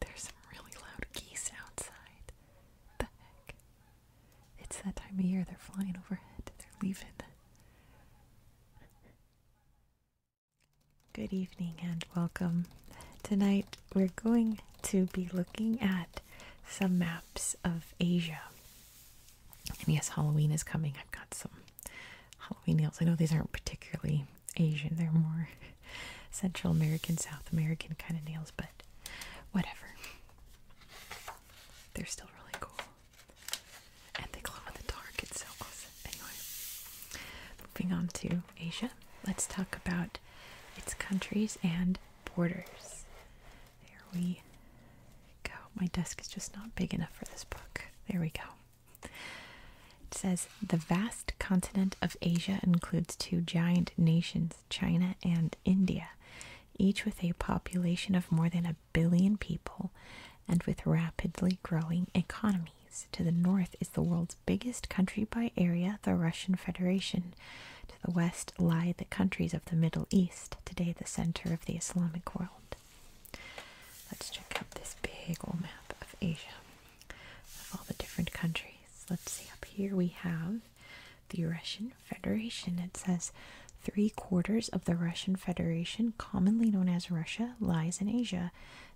There's some really loud geese outside. The heck? It's that time of year they're flying overhead. They're leaving. Good evening and welcome. Tonight we're going to be looking at some maps of Asia. And yes, Halloween is coming. I've got some Halloween nails. I know these aren't particularly Asian, they're more Central American, South American kind of nails, but whatever. They're still really cool. And they glow in the dark. It's so awesome. Anyway, moving on to Asia, let's talk about its countries and borders. There we go. My desk is just not big enough for this book. There we go. It says The vast continent of Asia includes two giant nations, China and India, each with a population of more than a billion people and with rapidly growing economies. To the north is the world's biggest country by area, the Russian Federation. To the west lie the countries of the Middle East today the center of the Islamic world. Let's check out this big old map of Asia, of all the different countries. Let's see, up here we have the Russian Federation. It says three quarters of the Russian Federation, commonly known as Russia, lies in Asia,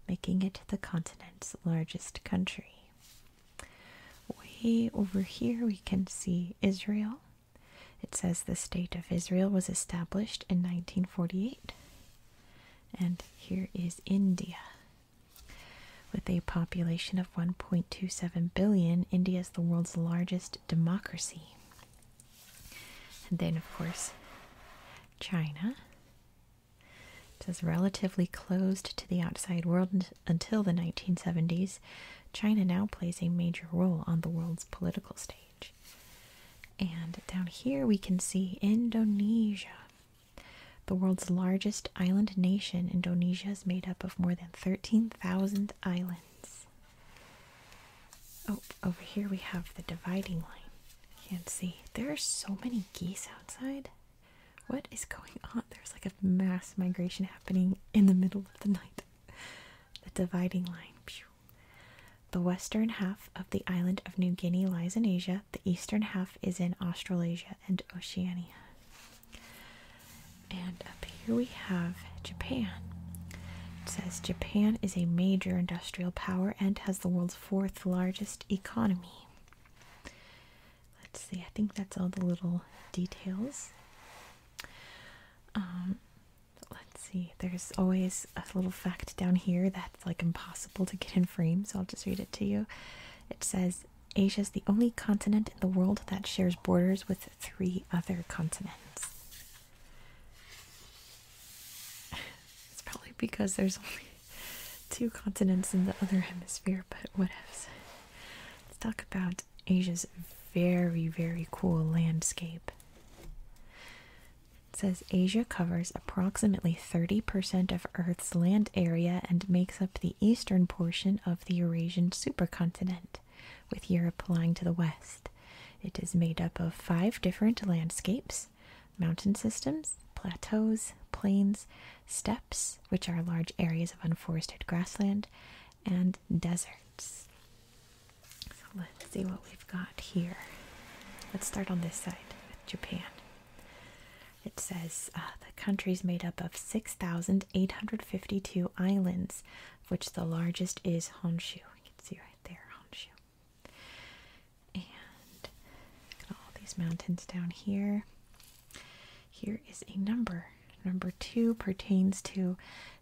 making it the continent's largest country. Way over here we can see Israel. It says the state of Israel was established in 1948. And here is India. With a population of 1.27 billion, India is the world's largest democracy. And then, of course, China. It says relatively closed to the outside world until the 1970s, China now plays a major role on the world's political stage. And down here we can see Indonesia. The world's largest island nation, Indonesia is made up of more than 13,000 islands. Oh, over here we have the dividing line. Can't see. There are so many geese outside. What is going on? There's like a mass migration happening in the middle of the night the dividing line. The western half of the island of New Guinea lies in Asia. The eastern half is in Australasia and Oceania. And up here we have Japan. It says Japan is a major industrial power and has the world's fourth largest economy. Let's see, I think that's all the little details. Um, Let's see. There's always a little fact down here that's like impossible to get in frame, so I'll just read it to you. It says Asia is the only continent in the world that shares borders with three other continents. It's probably because there's only two continents in the other hemisphere, but whatevs. Let's talk about Asia's very, very cool landscape. It says Asia covers approximately 30% of Earth's land area and makes up the eastern portion of the Eurasian supercontinent, with Europe lying to the west. It is made up of five different landscapes mountain systems, plateaus, plains, steppes, which are large areas of unforested grassland, and deserts. So let's see what we've got here. Let's start on this side with Japan. It says uh, the country is made up of 6,852 islands, which the largest is Honshu. You can see right there, Honshu. And look at all these mountains down here. Here is a number. Number two pertains to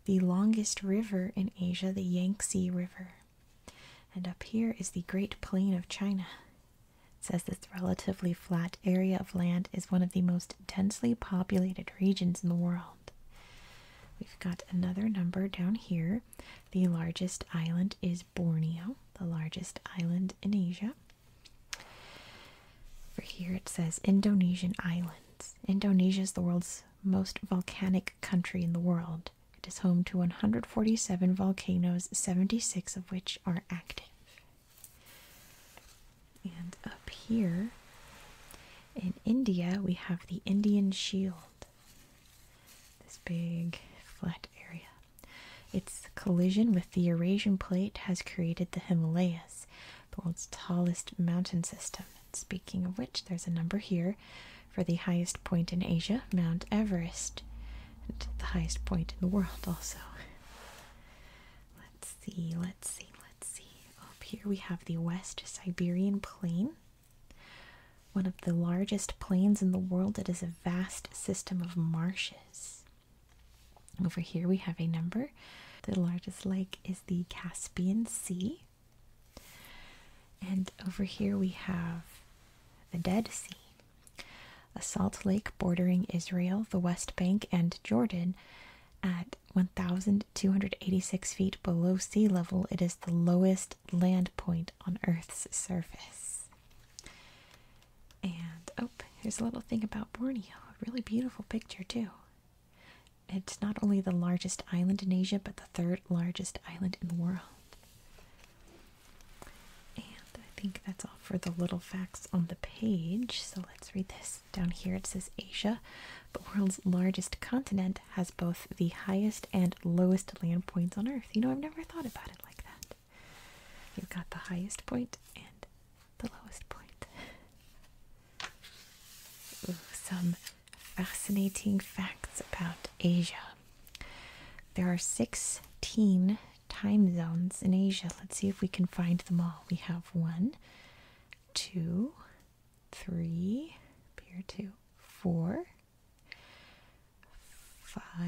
the longest river in Asia, the Yangtze River. And up here is the Great Plain of China. It says this relatively flat area of land is one of the most densely populated regions in the world. We've got another number down here. The largest island is Borneo, the largest island in Asia. Over here it says Indonesian island. Indonesia is the world's most volcanic country in the world. It is home to 147 volcanoes, 76 of which are active. And up here in India, we have the Indian Shield, this big flat area. Its collision with the Eurasian plate has created the Himalayas, the world's tallest mountain system. speaking of which, there's a number here for the highest point in Asia, Mount Everest, and the highest point in the world, also. Let's see, let's see, let's see. Up here we have the West Siberian Plain. One of the largest plains in the world, it is a vast system of marshes. Over here we have a number, the largest lake is the Caspian Sea. And over here we have the Dead Sea, a salt lake bordering Israel, the West Bank, and Jordan. At 1,286 feet below sea level, it is the lowest land point on Earth's surface. And oh, here's a little thing about Borneo. A really beautiful picture, too. It's not only the largest island in Asia, but the third largest island in the world. And I think that's all for the little facts on the page. So let's read this. Down here it says Asia, the world's largest continent, has both the highest and lowest land points on Earth. You know, I've never thought about it like that. You've got the highest point and the lowest point some fascinating facts about Asia. There are 16 time zones in Asia. Let's see if we can find them all. We have one, two, three, here two, four, five,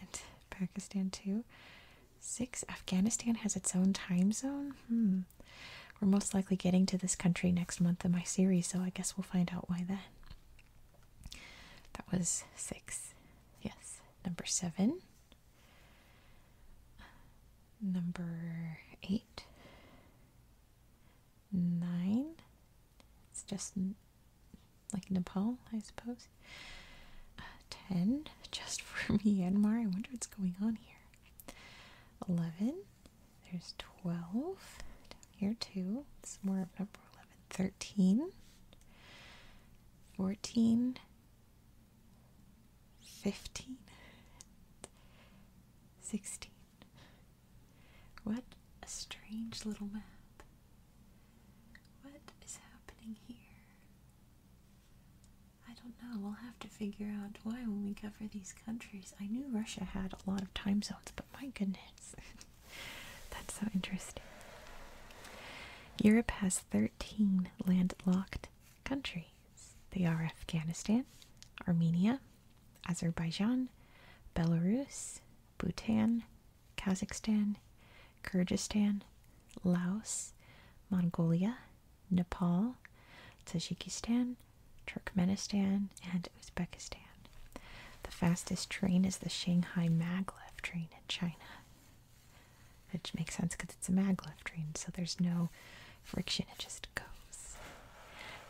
and Pakistan two, Six. Afghanistan has its own time zone? Hmm. We're most likely getting to this country next month in my series, so I guess we'll find out why then. That was six. Yes. Number seven. Number eight. Nine. It's just like Nepal, I suppose. Uh, ten. Just for Myanmar. I wonder what's going on here. 11. There's 12. Down here, too. It's more of number 11. 13. 14. 15. 16. What a strange little map. What is happening here? I don't know. We'll have to figure out why when we cover these countries. I knew Russia had a lot of time zones, but my goodness. That's so interesting. Europe has 13 landlocked countries. They are Afghanistan, Armenia, Azerbaijan, Belarus, Bhutan, Kazakhstan, Kyrgyzstan, Laos, Mongolia, Nepal, Tajikistan, Turkmenistan, and Uzbekistan. The fastest train is the Shanghai Maglev train in China. Which makes sense because it's a maglev train, so there's no friction, it just goes.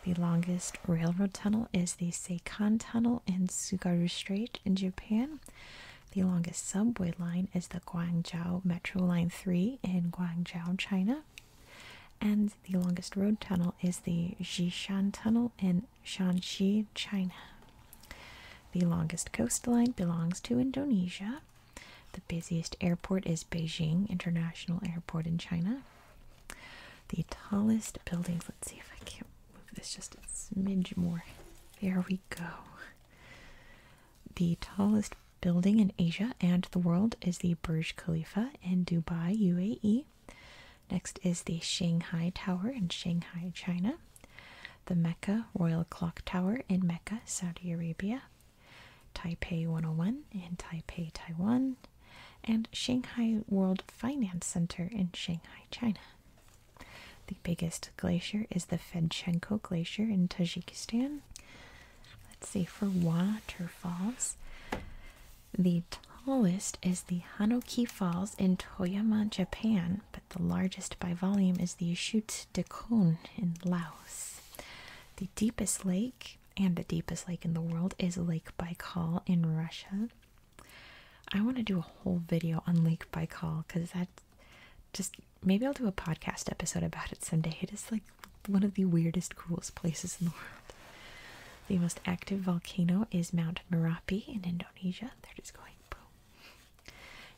The longest railroad tunnel is the Seikan Tunnel in Sugaru Strait in Japan. The longest subway line is the Guangzhou Metro Line 3 in Guangzhou, China. And the longest road tunnel is the Jishan Tunnel in Shanxi, China. The longest coastline belongs to Indonesia. The busiest airport is Beijing International Airport in China. The tallest buildings, let's see if I can't move this just a smidge more. There we go. The tallest building in Asia and the world is the Burj Khalifa in Dubai, UAE. Next is the Shanghai Tower in Shanghai, China. The Mecca Royal Clock Tower in Mecca, Saudi Arabia. Taipei 101 in Taipei, Taiwan. And Shanghai World Finance Center in Shanghai, China. The biggest glacier is the Fedchenko Glacier in Tajikistan. Let's see for waterfalls. The tallest is the Hanoki Falls in Toyama, Japan, but the largest by volume is the Chute de Kun in Laos. The deepest lake and the deepest lake in the world is Lake Baikal in Russia. I want to do a whole video on Lake Baikal because that just maybe I'll do a podcast episode about it someday. It is like one of the weirdest, coolest places in the world. The most active volcano is Mount Merapi in Indonesia. They're just going boom.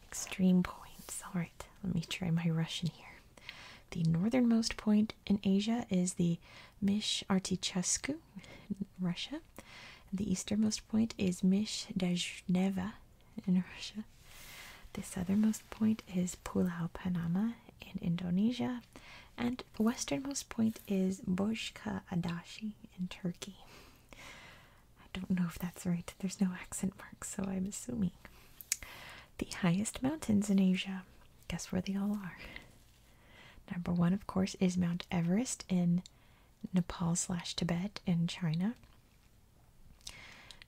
Extreme points. All right, let me try my Russian here. The northernmost point in Asia is the Mish Artichescu in Russia. the easternmost point is Mish Dejneva in Russia. The southernmost point is Pulau Panama in Indonesia, and the westernmost point is Bozkır Adashi in Turkey. I don't know if that's right. There's no accent mark, so I'm assuming. The highest mountains in Asia. Guess where they all are. Number one, of course, is Mount Everest in Nepal slash Tibet in China.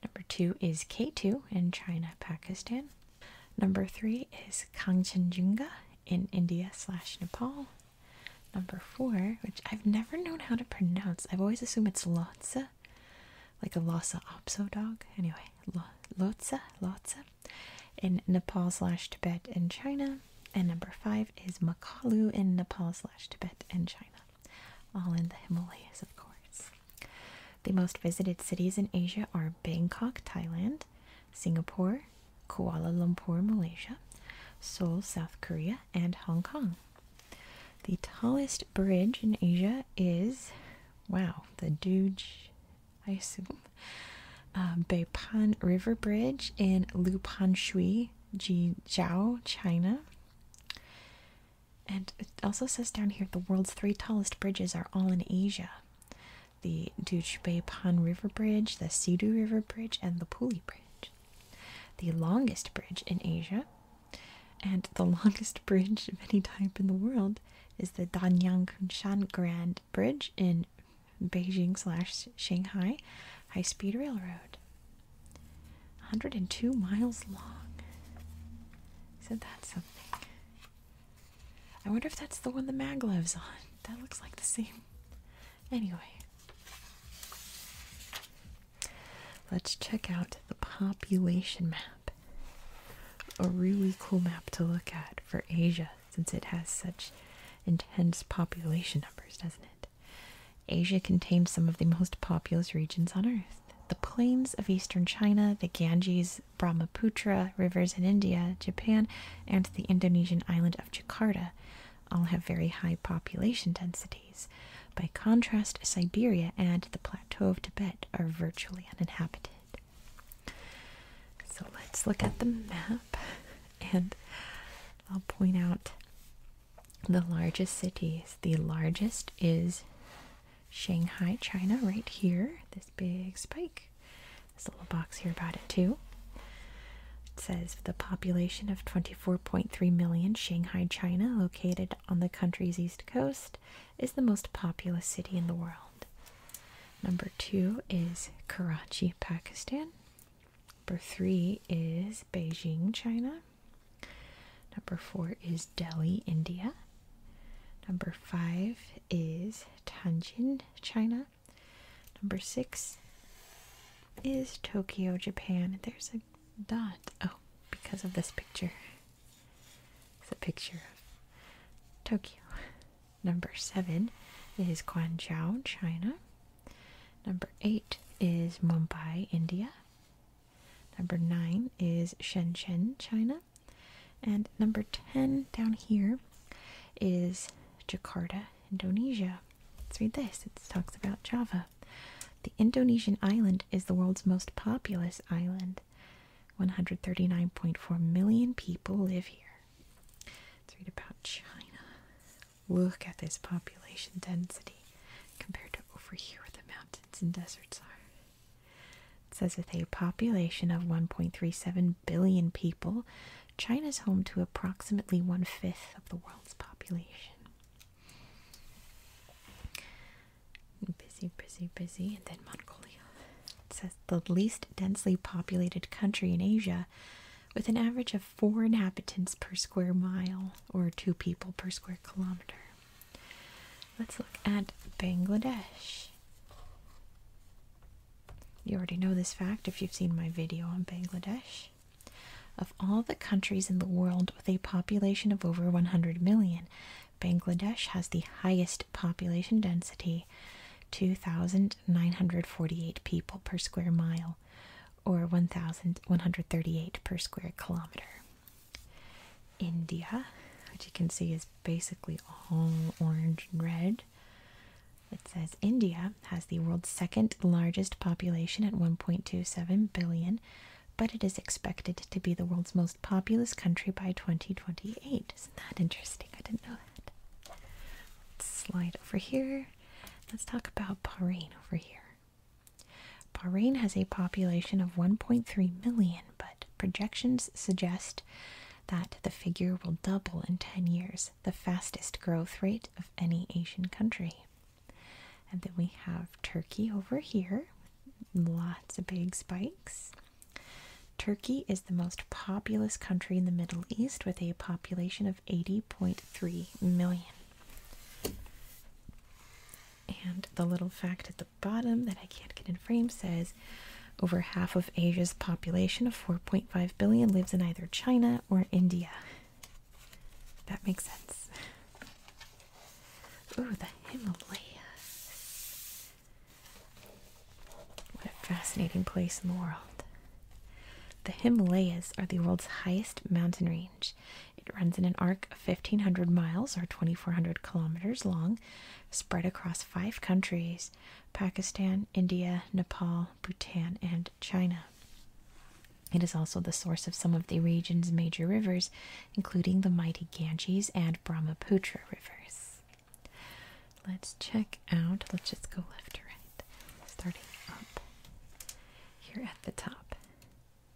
Number two is K2 in China, Pakistan. Number three is Kangchenjunga in India slash Nepal. Number four, which I've never known how to pronounce, I've always assumed it's Lhotse, like a Lhasa Apso dog. Anyway, Lhotse, Lhotse in Nepal slash Tibet and China. And number five is Makalu in Nepal slash Tibet and China all in the Himalayas, of course. The most visited cities in Asia are Bangkok, Thailand, Singapore, Kuala Lumpur, Malaysia, Seoul, South Korea, and Hong Kong. The tallest bridge in Asia is, wow, the Duge, I assume, uh, Beipan River Bridge in Lupanshui, Jijiao, China. And it also says down here the world's three tallest bridges are all in Asia the Dujbepan River Bridge, the Sidu River Bridge, and the Puli Bridge. The longest bridge in Asia, and the longest bridge of any type in the world, is the Danyang Kunshan Grand Bridge in Beijing slash Shanghai High Speed Railroad. 102 miles long. So that's something? I wonder if that's the one the mag lives on. That looks like the same. Anyway, let's check out the population map. A really cool map to look at for Asia since it has such intense population numbers, doesn't it? Asia contains some of the most populous regions on Earth the plains of eastern China, the Ganges, Brahmaputra rivers in India, Japan, and the Indonesian island of Jakarta all have very high population densities. By contrast, Siberia and the plateau of Tibet are virtually uninhabited. So let's look at the map and I'll point out the largest cities. The largest is Shanghai, China, right here. This big spike. This little box here about it, too. It says the population of 24.3 million, Shanghai, China, located on the country's east coast, is the most populous city in the world. Number two is Karachi, Pakistan. Number three is Beijing, China. Number four is Delhi, India. Number five is Tianjin, China. Number six is Tokyo, Japan. There's a dot. Oh, because of this picture. It's a picture of Tokyo. Number seven is Guangzhou, China. Number eight is Mumbai, India. Number nine is Shenzhen, China. And number 10 down here is Jakarta, Indonesia. Let's read this. It talks about Java. The Indonesian island is the world's most populous island. 139.4 million people live here. Let's read about China. Look at this population density compared to over here where the mountains and deserts are. It says with a population of 1.37 billion people, China is home to approximately one fifth of the world's population. Busy, busy, busy, and then Mongolia. It says the least densely populated country in Asia, with an average of four inhabitants per square mile or two people per square kilometer. Let's look at Bangladesh. You already know this fact if you've seen my video on Bangladesh. Of all the countries in the world with a population of over 100 million, Bangladesh has the highest population density, 2,948 people per square mile, or 1,138 per square kilometer. India, which you can see is basically all orange and red. It says India has the world's second largest population at 1.27 billion, but it is expected to be the world's most populous country by 2028. Isn't that interesting? I didn't know that. slide over here. Let's talk about Bahrain over here. Bahrain has a population of 1.3 million, but projections suggest that the figure will double in 10 years, the fastest growth rate of any Asian country. And then we have Turkey over here, lots of big spikes. Turkey is the most populous country in the Middle East with a population of 80.3 million. And the little fact at the bottom that I can't get in frame says over half of Asia's population of 4.5 billion lives in either China or India. That makes sense. Ooh, the Himalayas. What a fascinating place in the world. The Himalayas are the world's highest mountain range it runs in an arc of 1,500 miles or 2,400 kilometers long, spread across five countries Pakistan, India, Nepal, Bhutan, and China. It is also the source of some of the region's major rivers, including the mighty Ganges and Brahmaputra rivers. Let's check out, let's just go left to right, starting up here at the top.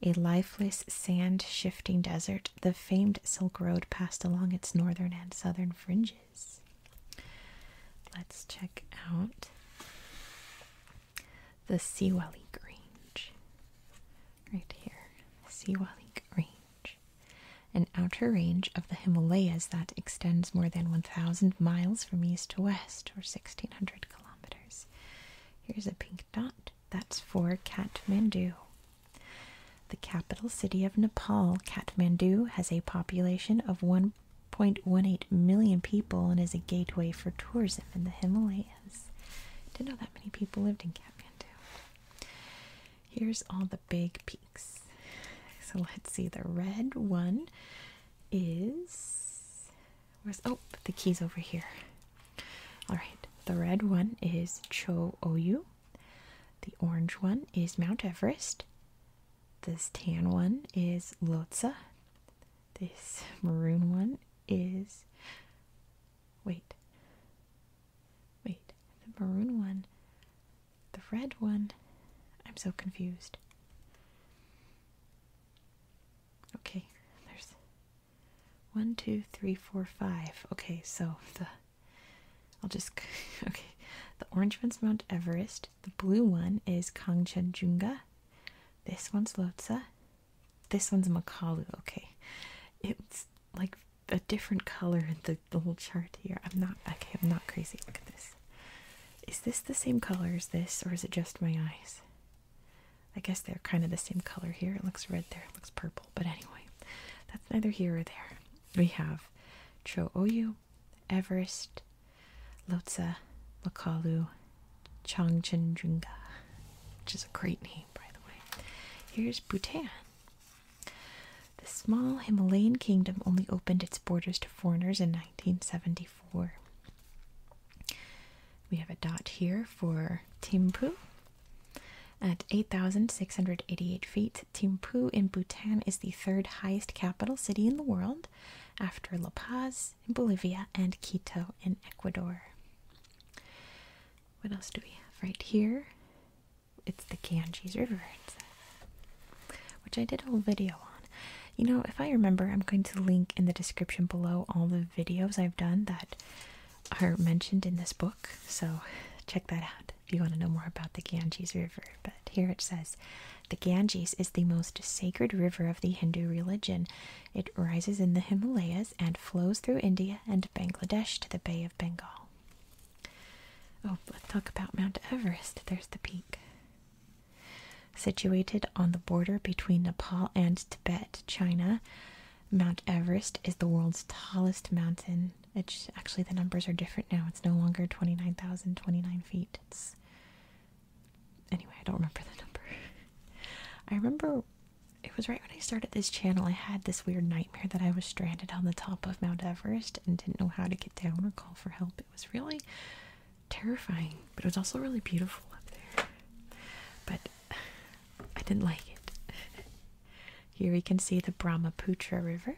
A lifeless, sand shifting desert, the famed Silk Road passed along its northern and southern fringes. Let's check out the Siwalik Range, Right here, Siwalik Range, an outer range of the Himalayas that extends more than 1,000 miles from east to west, or 1,600 kilometers. Here's a pink dot. That's for Kathmandu. The capital city of Nepal, Kathmandu, has a population of 1.18 million people and is a gateway for tourism in the Himalayas. Didn't know that many people lived in Kathmandu. Here's all the big peaks. So let's see. The red one is oh the keys over here. All right, the red one is Cho Oyu. The orange one is Mount Everest. This tan one is Lhotse. This maroon one is. Wait. Wait. The maroon one. The red one. I'm so confused. Okay, there's one, two, three, four, five. Okay, so the I'll just okay. The orange one's Mount Everest. The blue one is Kangchenjunga. This one's Lhotse. This one's Makalu. Okay, it's like a different color in the, the whole chart here. I'm not okay. I'm not crazy. Look at this. Is this the same color as this, or is it just my eyes? I guess they're kind of the same color here. It looks red there, it looks purple. But anyway, that's neither here or there. We have Cho Oyu, Everest, Lotsa, Makalu, Changchenjunga, which is a great name, by the way. Here's Bhutan. The small Himalayan kingdom only opened its borders to foreigners in 1974. We have a dot here for Thimphu, at 8,688 feet, Thimphu in Bhutan is the third highest capital city in the world after La Paz in Bolivia and Quito in Ecuador. What else do we have right here? It's the Ganges River, which I did a whole video on. You know, if I remember, I'm going to link in the description below all the videos I've done that are mentioned in this book, so check that out if you want to know more about the Ganges River. But here it says the Ganges is the most sacred river of the Hindu religion. It rises in the Himalayas and flows through India and Bangladesh to the Bay of Bengal. Oh, let's talk about Mount Everest. There's the peak. Situated on the border between Nepal and Tibet, China, Mount Everest is the world's tallest mountain. It's actually the numbers are different now. It's no longer 29,029 feet. It's anyway, I don't remember the number. I remember it was right when I started this channel. I had this weird nightmare that I was stranded on the top of Mount Everest and didn't know how to get down or call for help. It was really terrifying, but it was also really beautiful up there. But I didn't like it. Here we can see the Brahmaputra River,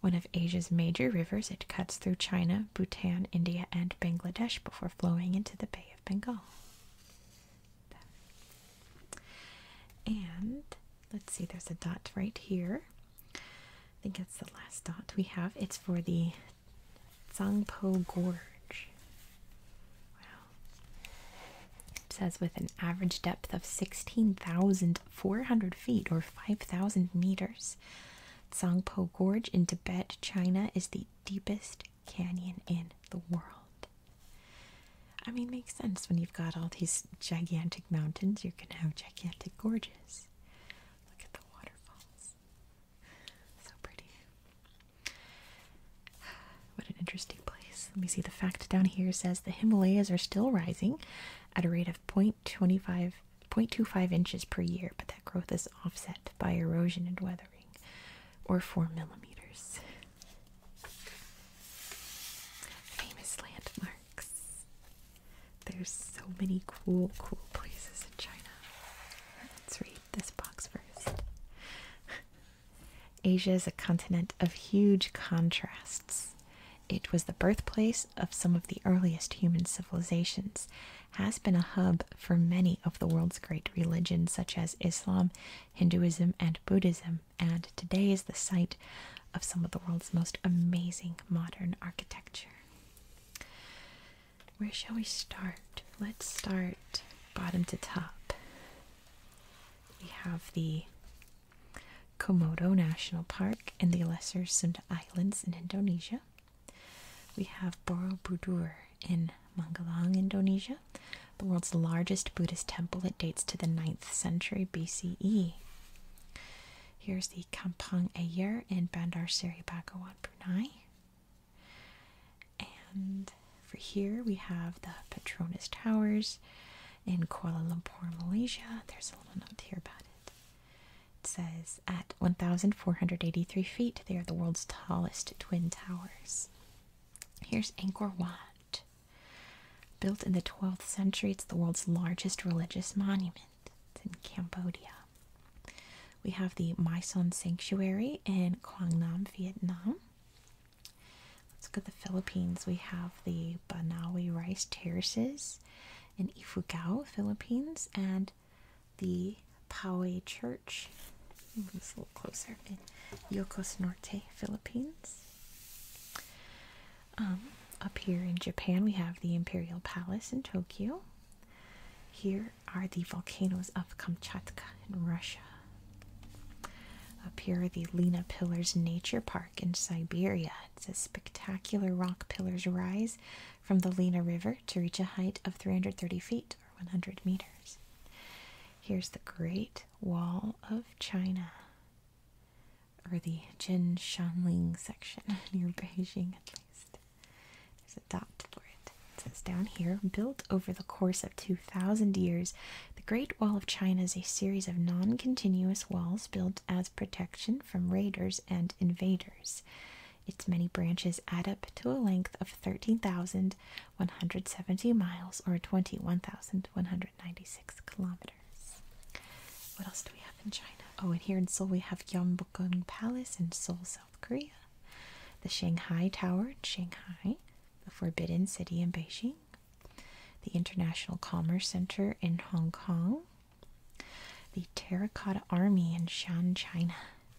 one of Asia's major rivers. It cuts through China, Bhutan, India, and Bangladesh before flowing into the Bay of Bengal. And let's see, there's a dot right here. I think that's the last dot we have. It's for the Tsangpo Gorge. It says with an average depth of 16,400 feet or 5,000 meters, Tsangpo Gorge in Tibet, China is the deepest canyon in the world. I mean, makes sense when you've got all these gigantic mountains, you're going to have gigantic gorges. Look at the waterfalls. So pretty. What an interesting place. Let me see. The fact down here says the Himalayas are still rising at a rate of 0.25, inches per year, but that growth is offset by erosion and weathering, or 4 millimeters. Famous landmarks. There's so many cool, cool places in China. Let's read this box first. Asia is a continent of huge contrasts. It was the birthplace of some of the earliest human civilizations, has been a hub for many of the world's great religions such as Islam, Hinduism, and Buddhism, and today is the site of some of the world's most amazing modern architecture. Where shall we start? Let's start bottom to top. We have the Komodo National Park in the Lesser Sunda Islands in Indonesia. We have Borobudur in Mangalang, Indonesia, the world's largest Buddhist temple that dates to the 9th century BCE. Here's the Kampong Ayer in Bandar Seri Begawan, Brunei. And for here we have the Petronas Towers in Kuala Lumpur, Malaysia. There's a little note here about it. It says, at 1,483 feet, they are the world's tallest twin towers. Here's Angkor Wat. Built in the 12th century, it's the world's largest religious monument. It's in Cambodia. We have the My Son Sanctuary in Quang Nam, Vietnam. Let's go to the Philippines. We have the Banawi rice terraces in Ifugao, Philippines, and the Poway Church. Move this a little closer in Yokos Norte, Philippines. Um, up here in Japan, we have the Imperial Palace in Tokyo. Here are the volcanoes of Kamchatka in Russia. Up here are the Lena Pillars Nature Park in Siberia. It says spectacular rock pillars rise from the Lena River to reach a height of 330 feet or 100 meters. Here's the Great Wall of China, or the Jinshanling section near Beijing at least. There's a dot for it it. says down here, built over the course of 2,000 years, the Great Wall of China is a series of non continuous walls built as protection from raiders and invaders. Its many branches add up to a length of 13,170 miles or 21,196 kilometers. What else do we have in China? Oh, and here in Seoul we have Gyeongbokgung Palace in Seoul, South Korea. The Shanghai Tower in Shanghai, the Forbidden City in Beijing, the International Commerce Center in Hong Kong, the Terracotta Army in Shan, China.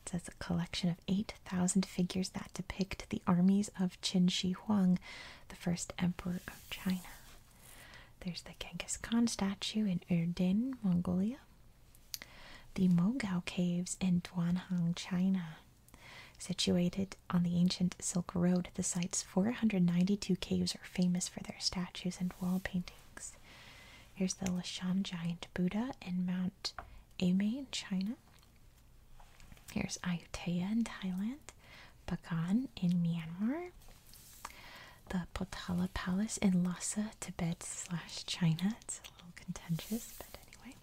It says a collection of 8,000 figures that depict the armies of Qin Shi Huang, the first emperor of China. There's the Genghis Khan statue in Urdin, Mongolia. The Mogao Caves in Duanhang, China. Situated on the ancient Silk Road, the site's 492 caves are famous for their statues and wall paintings. Here's the Lashan Giant Buddha in Mount Aimei in China. Here's Ayutthaya in Thailand, Bagan in Myanmar, the Potala Palace in Lhasa, Tibet slash China. It's a little contentious, but anyway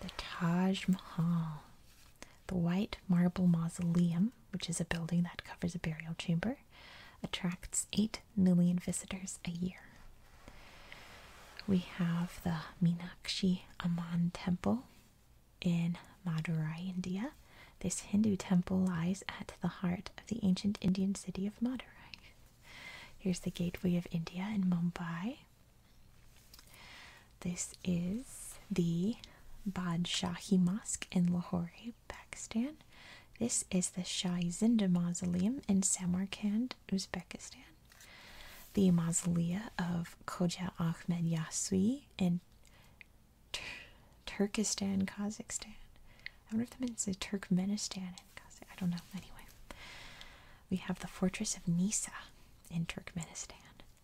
the Taj Mahal, the White Marble Mausoleum, which is a building that covers a burial chamber, attracts 8 million visitors a year. We have the Minakshi Amman Temple in Madurai, India. This Hindu temple lies at the heart of the ancient Indian city of Madurai. Here's the Gateway of India in Mumbai. This is the Badshahi Mosque in Lahore, Pakistan. This is the Shahi Zinda Mausoleum in Samarkand, Uzbekistan. The mausolea of Khoja Ahmed Yasui in Tur Turkestan, Kazakhstan. I wonder if that means Turkmenistan I don't know. Anyway, we have the fortress of Nisa in Turkmenistan.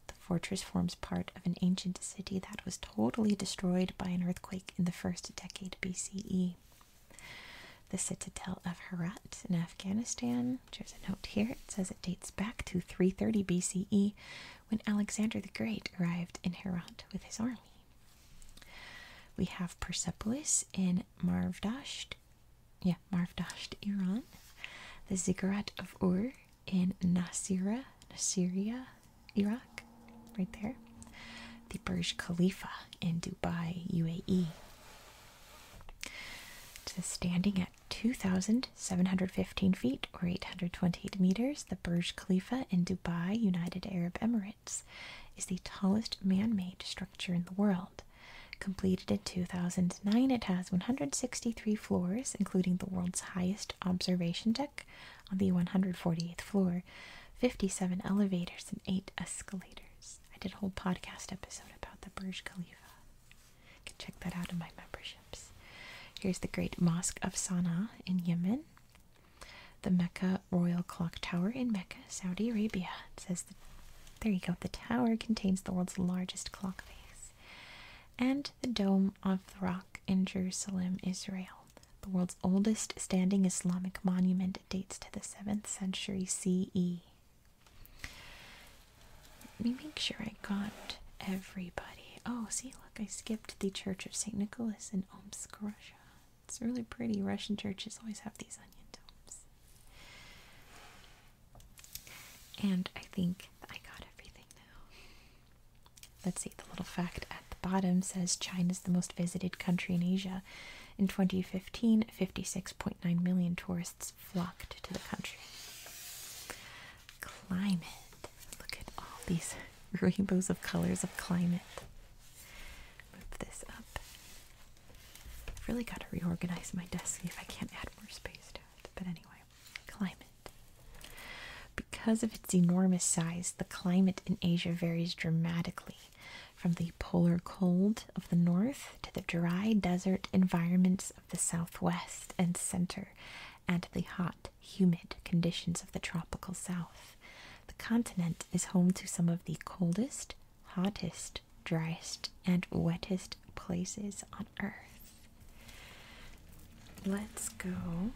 The fortress forms part of an ancient city that was totally destroyed by an earthquake in the first decade BCE. The citadel of Herat in Afghanistan, there's a note here, it says it dates back to 330 BCE when Alexander the Great arrived in Herat with his army. We have Persepolis in Marvdasht yeah, Marv Dasht, Iran, the Ziggurat of Ur in Nasira, Nasiriyah, Iraq, right there, the Burj Khalifa in Dubai, UAE. So standing at 2,715 feet or 828 meters, the Burj Khalifa in Dubai, United Arab Emirates, is the tallest man made structure in the world. Completed in 2009, it has 163 floors, including the world's highest observation deck on the 148th floor, 57 elevators, and 8 escalators. I did a whole podcast episode about the Burj Khalifa. You can check that out in my memberships. Here's the Great Mosque of Sana'a in Yemen. The Mecca Royal Clock Tower in Mecca, Saudi Arabia. Says the there you go. The tower contains the world's largest clock face, and the dome of the rock in Jerusalem, Israel. The world's oldest standing Islamic monument dates to the 7th century CE. Let me make sure I got everybody. Oh, see, look, I skipped the Church of St. Nicholas in Omsk, Russia. It's really pretty. Russian churches always have these onion domes. And I think I got everything now. Let's see, the little fact at the bottom says China is the most visited country in Asia. In 2015, 56.9 million tourists flocked to the country. Climate. Look at all these rainbows of colors of climate. Move this up. I've really got to reorganize my desk if I can't add more space to it. But anyway, climate. Because of its enormous size, the climate in Asia varies dramatically from the polar cold of the north to the dry desert environments of the southwest and center and the hot, humid conditions of the tropical south. The continent is home to some of the coldest, hottest, driest, and wettest places on earth. Let's go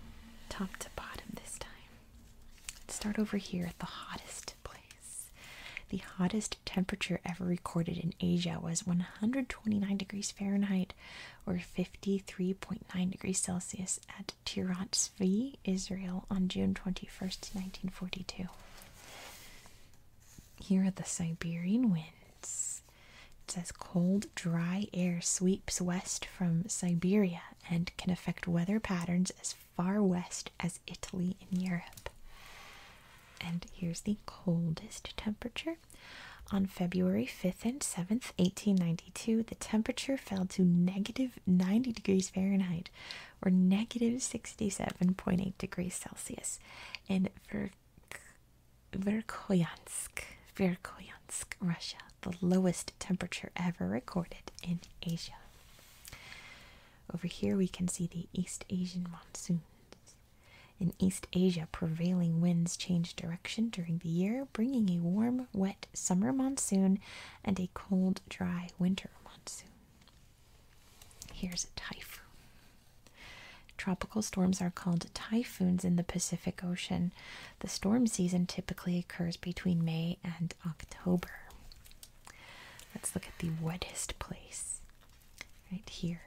top to bottom this time. Let's start over here at the hottest place. The hottest temperature ever recorded in Asia was 129 degrees Fahrenheit or 53.9 degrees Celsius at Tirat Zvi, Israel on June 21st, 1942. Here are the Siberian winds. It says cold, dry air sweeps west from Siberia and can affect weather patterns as far west as Italy in Europe. And here's the coldest temperature. On February 5th and 7th, 1892, the temperature fell to negative 90 degrees Fahrenheit, or negative 67.8 degrees Celsius in Ver Verkhoyansk, Russia, the lowest temperature ever recorded in Asia. Over here we can see the East Asian monsoons. In East Asia, prevailing winds change direction during the year, bringing a warm, wet summer monsoon and a cold, dry winter monsoon. Here's a typhoon. Tropical storms are called typhoons in the Pacific Ocean. The storm season typically occurs between May and October. Let's look at the wettest place. Right here.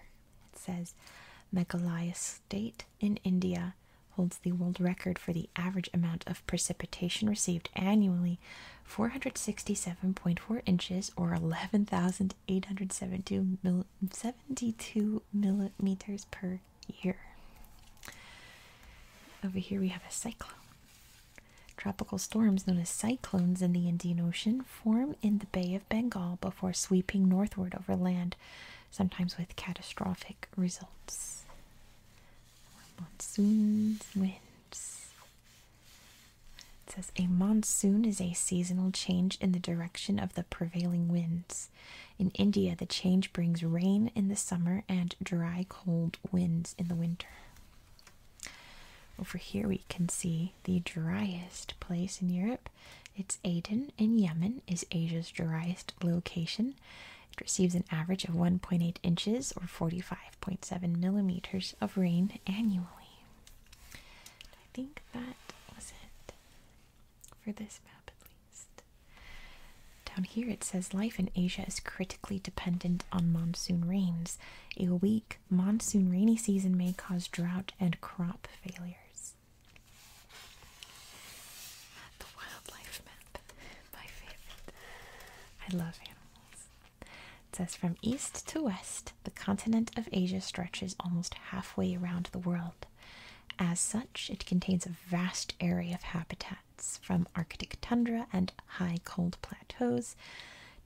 It says Meghalaya State in India holds the world record for the average amount of precipitation received annually 467.4 inches or 11,872 millimeters per year. Over here we have a cyclone. Tropical storms known as cyclones in the Indian Ocean form in the Bay of Bengal before sweeping northward over land, sometimes with catastrophic results. Monsoons, winds. It says a monsoon is a seasonal change in the direction of the prevailing winds. In India, the change brings rain in the summer and dry, cold winds in the winter. Over here, we can see the driest place in Europe. It's Aden in Yemen, is Asia's driest location. It receives an average of 1.8 inches or 45.7 millimeters of rain annually. I think that was it for this map at least. Down here it says life in Asia is critically dependent on monsoon rains. A weak monsoon rainy season may cause drought and crop failures. The wildlife map, my favorite. I love animals. It says from east to west, the continent of Asia stretches almost halfway around the world. As such, it contains a vast area of habitats, from Arctic tundra and high cold plateaus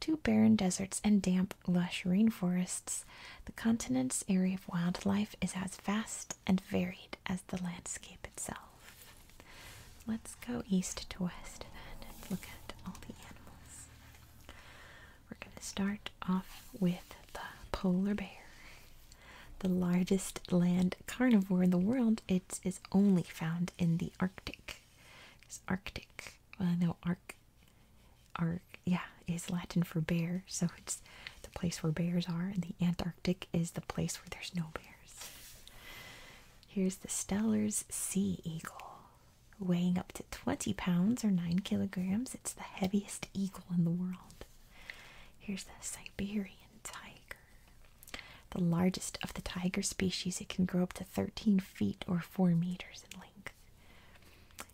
to barren deserts and damp, lush rainforests. The continent's area of wildlife is as vast and varied as the landscape itself. Let's go east to west then and look at all the animals. We're going to start off with the polar bear. The largest land carnivore in the world, it is only found in the Arctic. Arctic. Well, no, Arc. Arc, yeah, is Latin for bear, so it's the place where bears are, and the Antarctic is the place where there's no bears. Here's the Stellar's sea eagle. Weighing up to 20 pounds or 9 kilograms, it's the heaviest eagle in the world. Here's the Siberian tiger. The largest of the tiger species, it can grow up to 13 feet or 4 meters in length.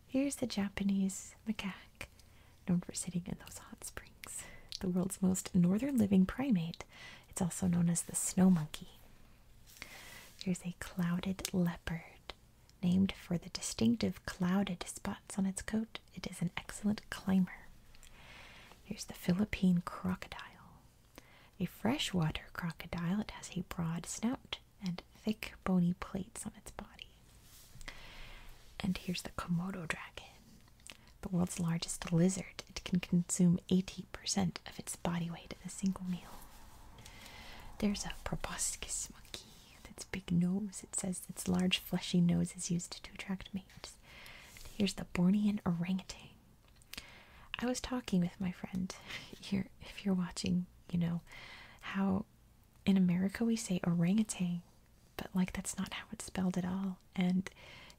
Here's the Japanese macaque, known for sitting in those hot springs. The world's most northern living primate. It's also known as the snow monkey. There's a clouded leopard. Named for the distinctive clouded spots on its coat, it is an excellent climber. Here's the Philippine crocodile. A freshwater crocodile, it has a broad snout and thick bony plates on its body. And here's the Komodo dragon, the world's largest lizard. It can consume 80 percent of its body weight in a single meal. There's a proboscis monkey with its big nose. It says its large fleshy nose is used to attract mates. Here's the Bornean orangutan. I was talking with my friend here, if you're watching, you know, how in America we say orangutan, but like that's not how it's spelled at all. And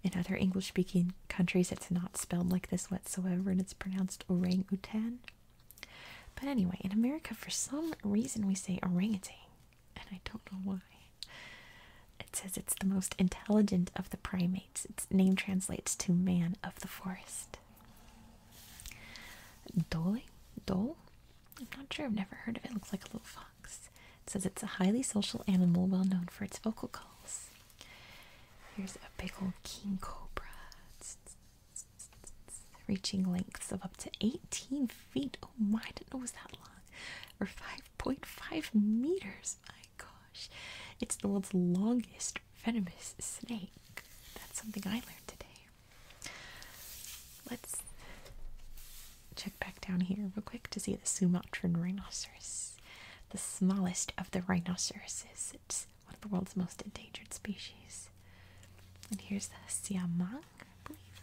in other English speaking countries, it's not spelled like this whatsoever and it's pronounced orang but anyway, in America, for some reason, we say orangutan, and I don't know why. It says it's the most intelligent of the primates. Its name translates to man of the forest. Dole? Dole? I'm not sure, I've never heard of it. It looks like a little fox. It says it's a highly social animal well known for its vocal calls. Here's a big old king cobra. It's, reaching lengths of up to 18 feet. Oh my, I didn't know it was that long. Or 5.5 meters. My gosh. It's the world's longest venomous snake. That's something I learned today. Let's check back down here real quick to see the Sumatran rhinoceros, the smallest of the rhinoceroses. It's one of the world's most endangered species. And here's the siamang, I believe.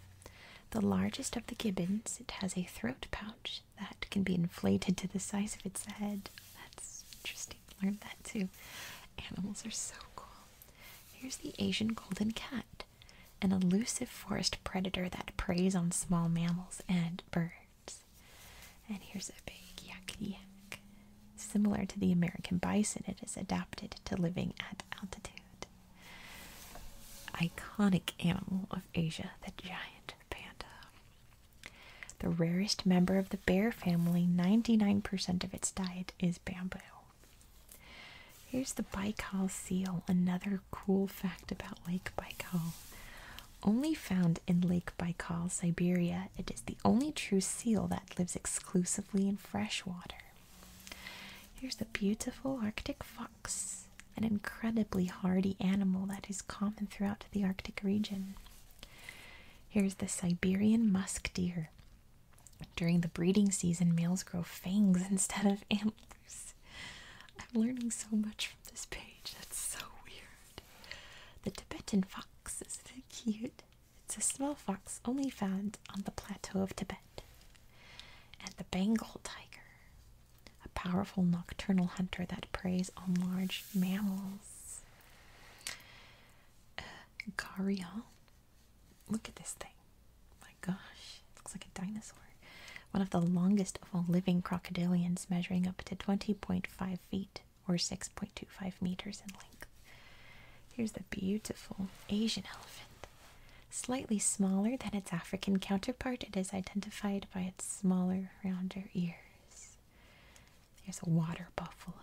The largest of the gibbons, it has a throat pouch that can be inflated to the size of its head. That's interesting. Learned that too. Animals are so cool. Here's the Asian golden cat, an elusive forest predator that preys on small mammals and birds. And here's a big yak yak. Similar to the American bison, it is adapted to living at altitude. Iconic animal of Asia, the giant panda. The rarest member of the bear family, 99% of its diet is bamboo. Here's the Baikal seal, another cool fact about Lake Baikal only found in Lake Baikal, Siberia. It is the only true seal that lives exclusively in fresh water. Here's the beautiful Arctic fox, an incredibly hardy animal that is common throughout the Arctic region. Here's the Siberian musk deer. During the breeding season, males grow fangs instead of antlers. I'm learning so much from this page. That's so weird. The Tibetan fox is so cute. It's a small fox only found on the plateau of Tibet. And the Bengal tiger, a powerful nocturnal hunter that preys on large mammals. Uh, Gharial. Look at this thing. My gosh, looks like a dinosaur. One of the longest of all living crocodilians, measuring up to 20.5 feet or 6.25 meters in length. Here's the beautiful Asian elephant. Slightly smaller than its African counterpart, it is identified by its smaller, rounder ears. Here's a water buffalo.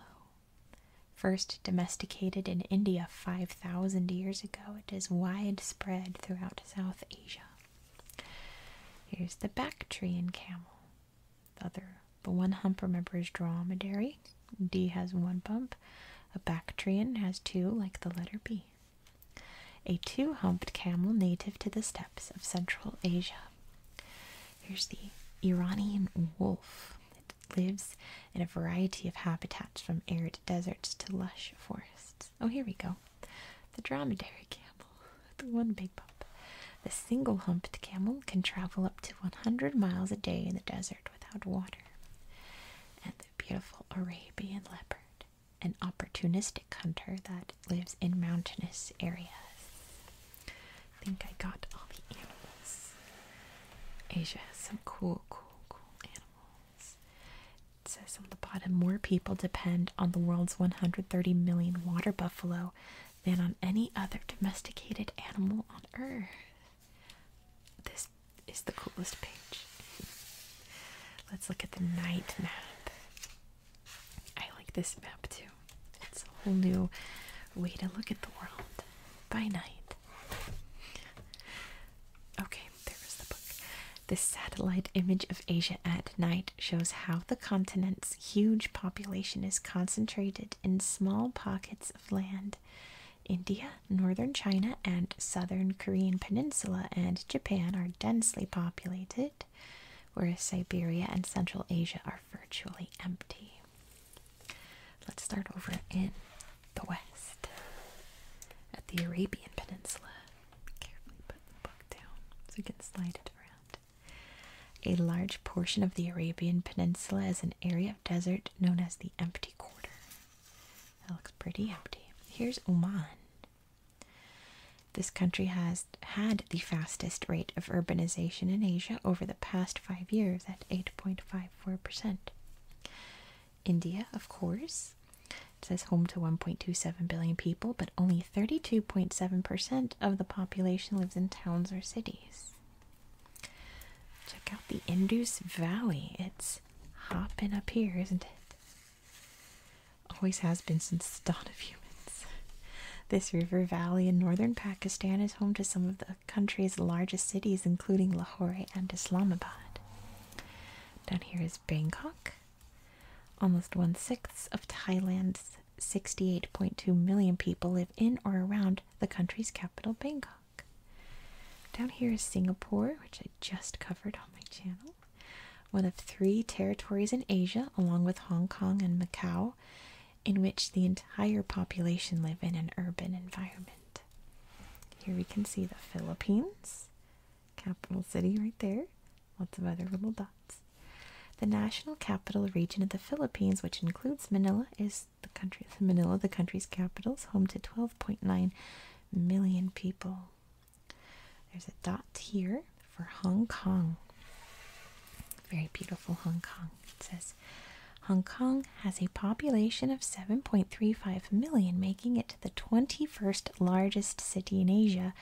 First domesticated in India 5,000 years ago, it is widespread throughout South Asia. Here's the Bactrian camel the other. But one hump, remember, is dromedary. D has one bump. A Bactrian has two, like the letter B. A two humped camel native to the steppes of Central Asia. Here's the Iranian wolf. It lives in a variety of habitats from arid deserts to lush forests. Oh, here we go. The dromedary camel. the one big bump. The single humped camel can travel up to 100 miles a day in the desert without water. And the beautiful Arabian leopard, an opportunistic hunter that lives in mountainous areas. I think I got all the animals. Asia has some cool, cool, cool animals. It says on the bottom more people depend on the world's 130 million water buffalo than on any other domesticated animal on earth. This is the coolest page. Let's look at the night map. I like this map too. It's a whole new way to look at the world by night. Okay, there's the book. The satellite image of Asia at night shows how the continent's huge population is concentrated in small pockets of land. India, northern China, and southern Korean peninsula and Japan are densely populated, whereas Siberia and Central Asia are virtually empty. Let's start over in the west at the Arabian Peninsula. Carefully put the book down so we can slide it around. A large portion of the Arabian Peninsula is an area of desert known as the Empty Quarter. That looks pretty empty. Here's Oman. This country has had the fastest rate of urbanization in Asia over the past five years at 8.54%. India, of course, says home to 1.27 billion people, but only 32.7% of the population lives in towns or cities. Check out the Indus Valley. It's hopping up here, isn't it? Always has been since the dawn of humans. This river valley in northern Pakistan is home to some of the country's largest cities, including Lahore and Islamabad. Down here is Bangkok, almost one sixth of Thailand's 68.2 million people live in or around the country's capital, Bangkok. Down here is Singapore, which I just covered on my channel, one of three territories in Asia, along with Hong Kong and Macau, in which the entire population live in an urban environment. Here we can see the Philippines, capital city right there. Lots of other little dots. The national capital region of the Philippines, which includes Manila, is the country Manila, the country's capital, is home to 12.9 million people. There's a dot here for Hong Kong. Very beautiful Hong Kong. It says Hong Kong has a population of 7.35 million, making it the 21st largest city in Asia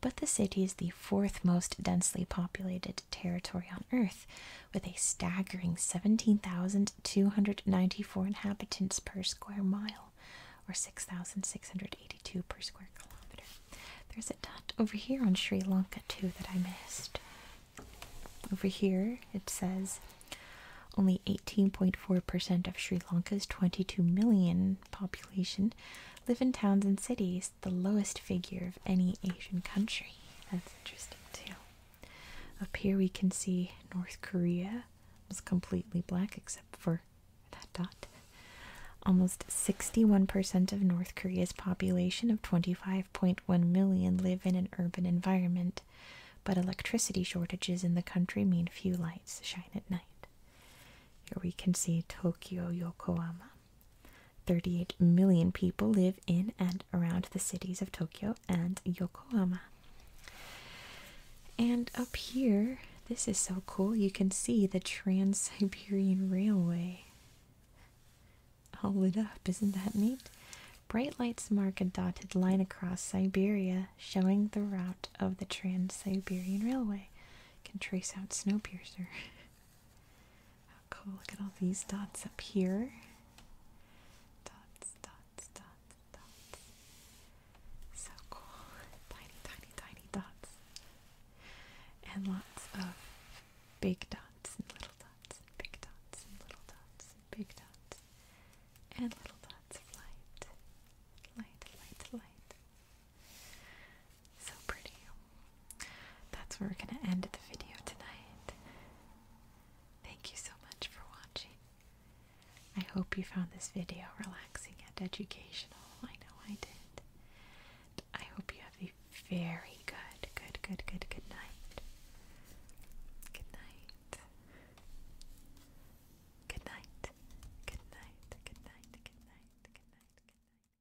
but the city is the fourth most densely populated territory on Earth, with a staggering 17,294 inhabitants per square mile, or 6,682 per square kilometer. There's a dot over here on Sri Lanka, too, that I missed. Over here, it says only 18.4% of Sri Lanka's 22 million population live in towns and cities, the lowest figure of any Asian country. That's interesting too. Up here we can see North Korea was completely black except for that dot. Almost 61% of North Korea's population of 25.1 million live in an urban environment, but electricity shortages in the country mean few lights shine at night. Here we can see Tokyo, Yokohama. 38 million people live in and around the cities of Tokyo and Yokohama. And up here, this is so cool, you can see the Trans Siberian Railway. All lit up, isn't that neat? Bright lights mark a dotted line across Siberia, showing the route of the Trans Siberian Railway. can trace out Snowpiercer. Cool, look at all these dots up here. Dots, dots, dots, dots. So cool. Tiny, tiny, tiny dots. And lots of big dots and little dots and big dots and little dots and big dots and little dots of light. Light, light, light. So pretty. That's where we're going to end the video tonight. Thank you so much for watching. I hope you found this video relaxing and educational. I know I did. I hope you have a very good, good, good, good, good night. Good night. Good night. Good night. Good night. Good night. Good night. Good night.